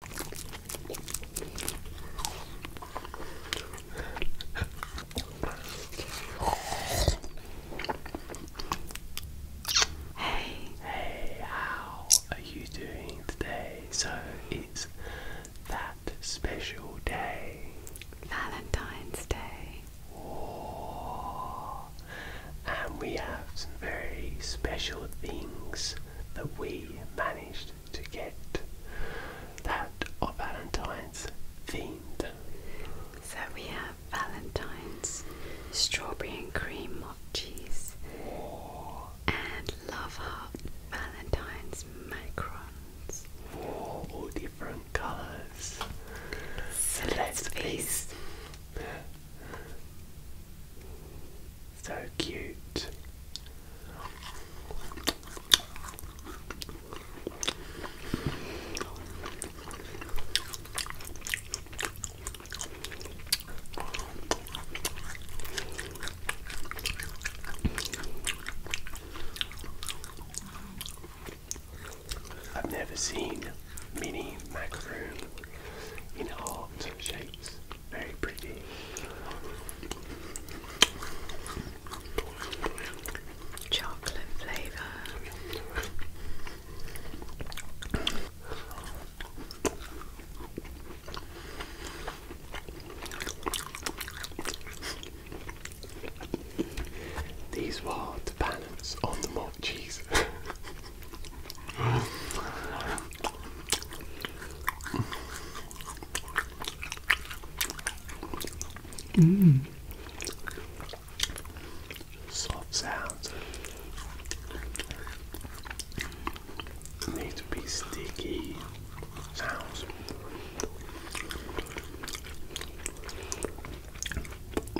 Hey, hey, how are you doing today? So it's that special day, Valentine's Day. Oh, and we have some very special things that we managed to get that of Valentine's themed. So we have Valentine's, strawberry and cream mock cheese, Whoa. and love heart Valentine's macarons. all different colours. So, so let's feast. So cute. I've never seen mini macaroon in heart shapes. Very pretty. Chocolate flavour. These were to balance on the mock cheese. Mm. Soft sounds need to be sticky sounds.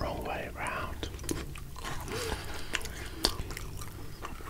Wrong way around.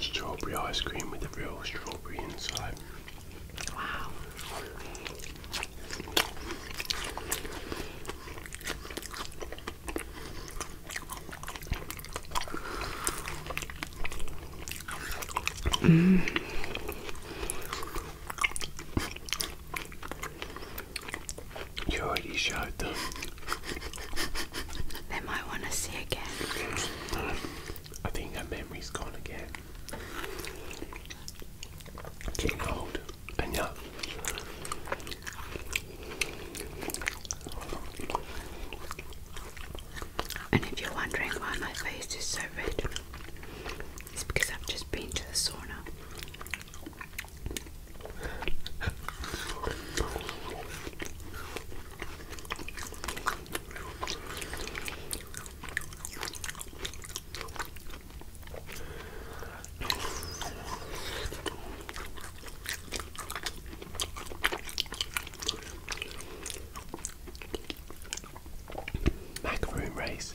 Strawberry ice cream with a real strawberry inside. Wow. Mm. You already showed them. they might want to see again. I think her memory's gone again. Getting old, and yeah. And if you're wondering why my face is so red, it's because I've just been to the sauna. Macaroon race.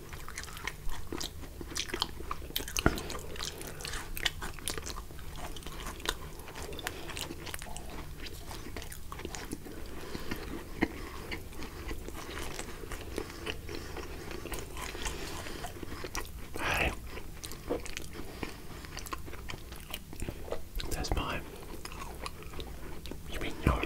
Hey, that's mine. You mean yours?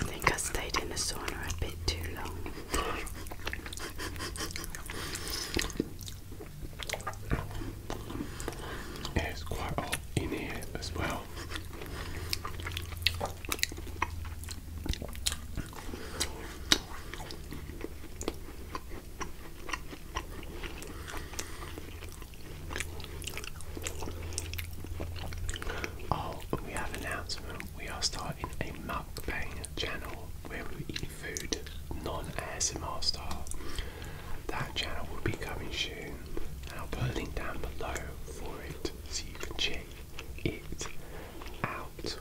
I think I stayed in the sauna a bit too long. It's quite hot in here as well. Oh, we have an announcement. We are starting a mukbang channel where we eat food non-ASMR style. That channel will be coming soon. And I'll put a link down below for it so you can check it out.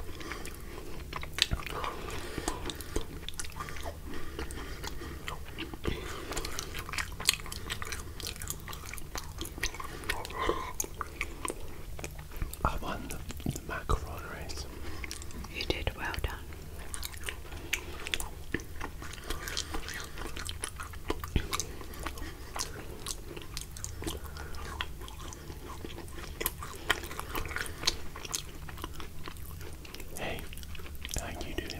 I won the, macaron race. You did well done. Hey, thank you, dude.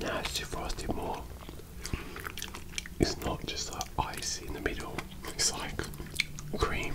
Nasty frosty more. It's not just like ice in the middle, it's like cream.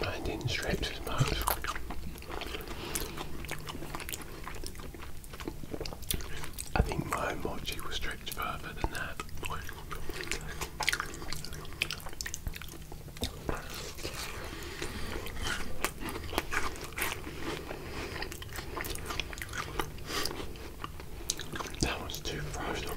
I didn't stretch as much. I think my mochi was stretched further than that. That one's too frozen.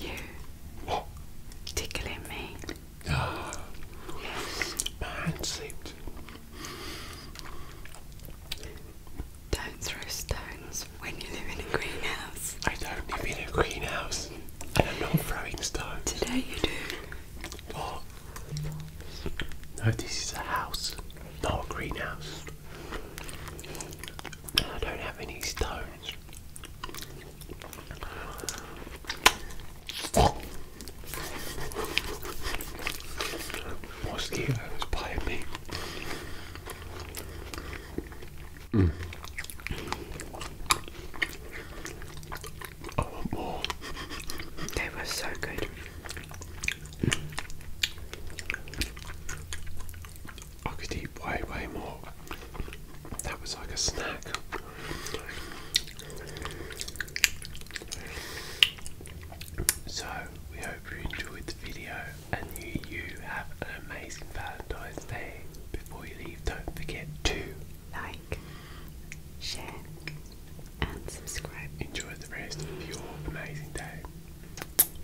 You what? tickling me. Oh. Ah. Yes. My hand slipped. Don't throw stones when you live in a greenhouse. I don't live in a greenhouse. And I'm not throwing stones. Today you do. What? No, this is a house, not a greenhouse. I don't have any stones. Mosquitoes bite me. Mm. I want more. They were so good. Hmm. I could eat way, way more. That was like a snack. So, we hope you enjoyed the video and you, have an amazing Valentine's Day. Before you leave, don't forget to like, share, and subscribe. Enjoy the rest of your amazing day.